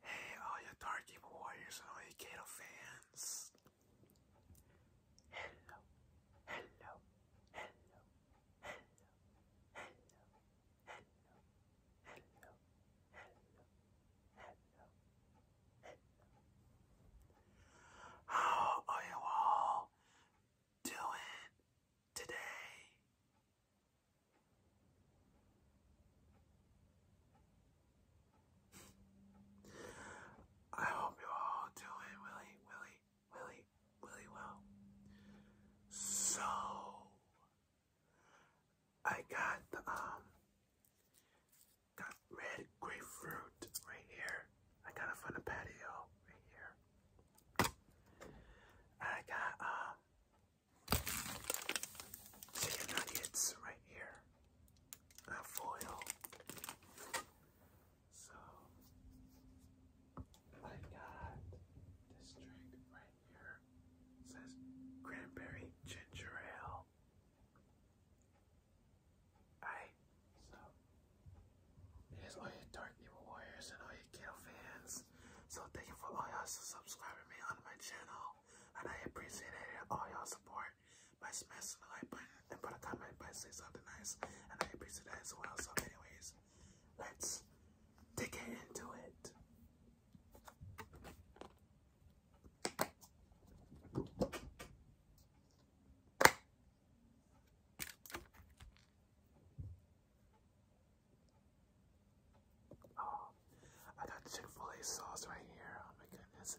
Hey, all you Dark Evil Warriors and all you Kato fans. hello, hello, hello, hello, hello, hello, hello, hello, hello. How are you all doing today? I hope you all do really, really, really, really well. So I got um got red grapefruit right here. I got it from patio right here. I got um chicken nuggets right here. Not foil. So I got this drink right here. says cranberry ginger ale. I so Here's all you dark evil warriors and all you Gale fans. So thank you for all y'all subscribing me on my channel. And I appreciate it, all y'all support by smashing the like button and put a comment by saying something nice. And I appreciate that as well. So anyways, let's dig into it. Oh, I got Chick fil A sauce right here. Oh my goodness.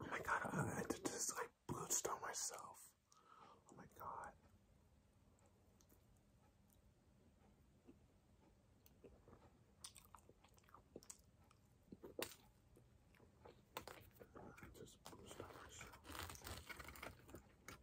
Oh my god, I, just like bluestone myself. Oh my god. myself.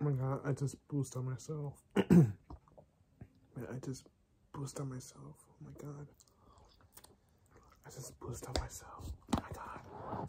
Oh my god, I just boosted on myself. Man, I just boosted on myself. Oh my god. I just boosted on myself. Oh my god.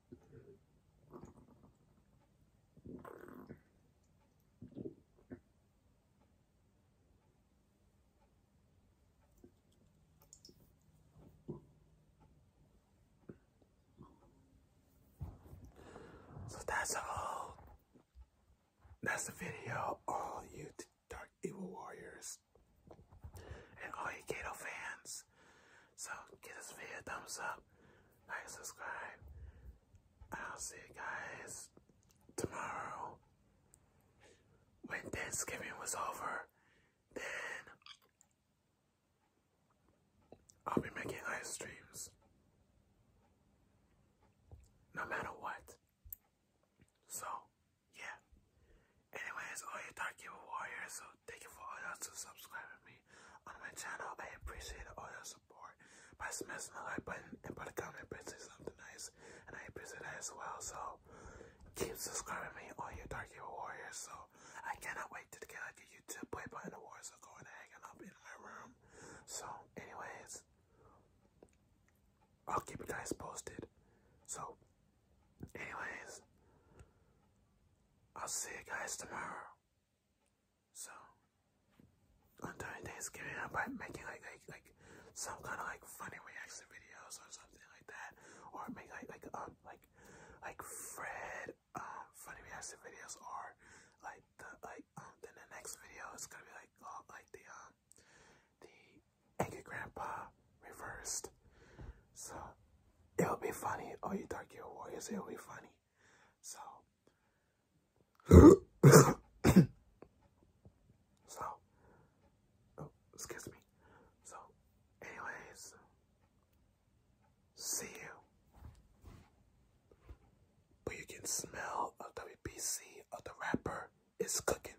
So that's all. That's the video. All you Dark Evil Warriors and all you Gato fans. So give this video a thumbs up, like, subscribe. I'll see you guys tomorrow. When Thanksgiving was over, then I'll be making ice creams. No matter what. So, yeah. Anyways, all you dark evil warriors thank you for all y'all to subscribing me on my channel. I appreciate all your support by smashing the like button and put a comment and say something nice. And I appreciate that as well. So keep subscribing me on your Dark Evil Warriors. So I cannot wait to get like a YouTube play button awards are going to hanging up in my room. So anyways, I'll keep you guys posted. So anyways, I'll see you guys tomorrow. So on Thanksgiving, I might making like like like some kind of like funny reaction videos or something like that, or make like like um like like Fred um funny reaction videos, or like the like um then the next video is gonna be like oh, like the um the angry grandpa reversed. So it'll be funny. Oh, you dark your warriors, it'll be funny. So, so, oh, excuse me. So, anyways, see you. But you can smell of WPC of the rapper is cooking.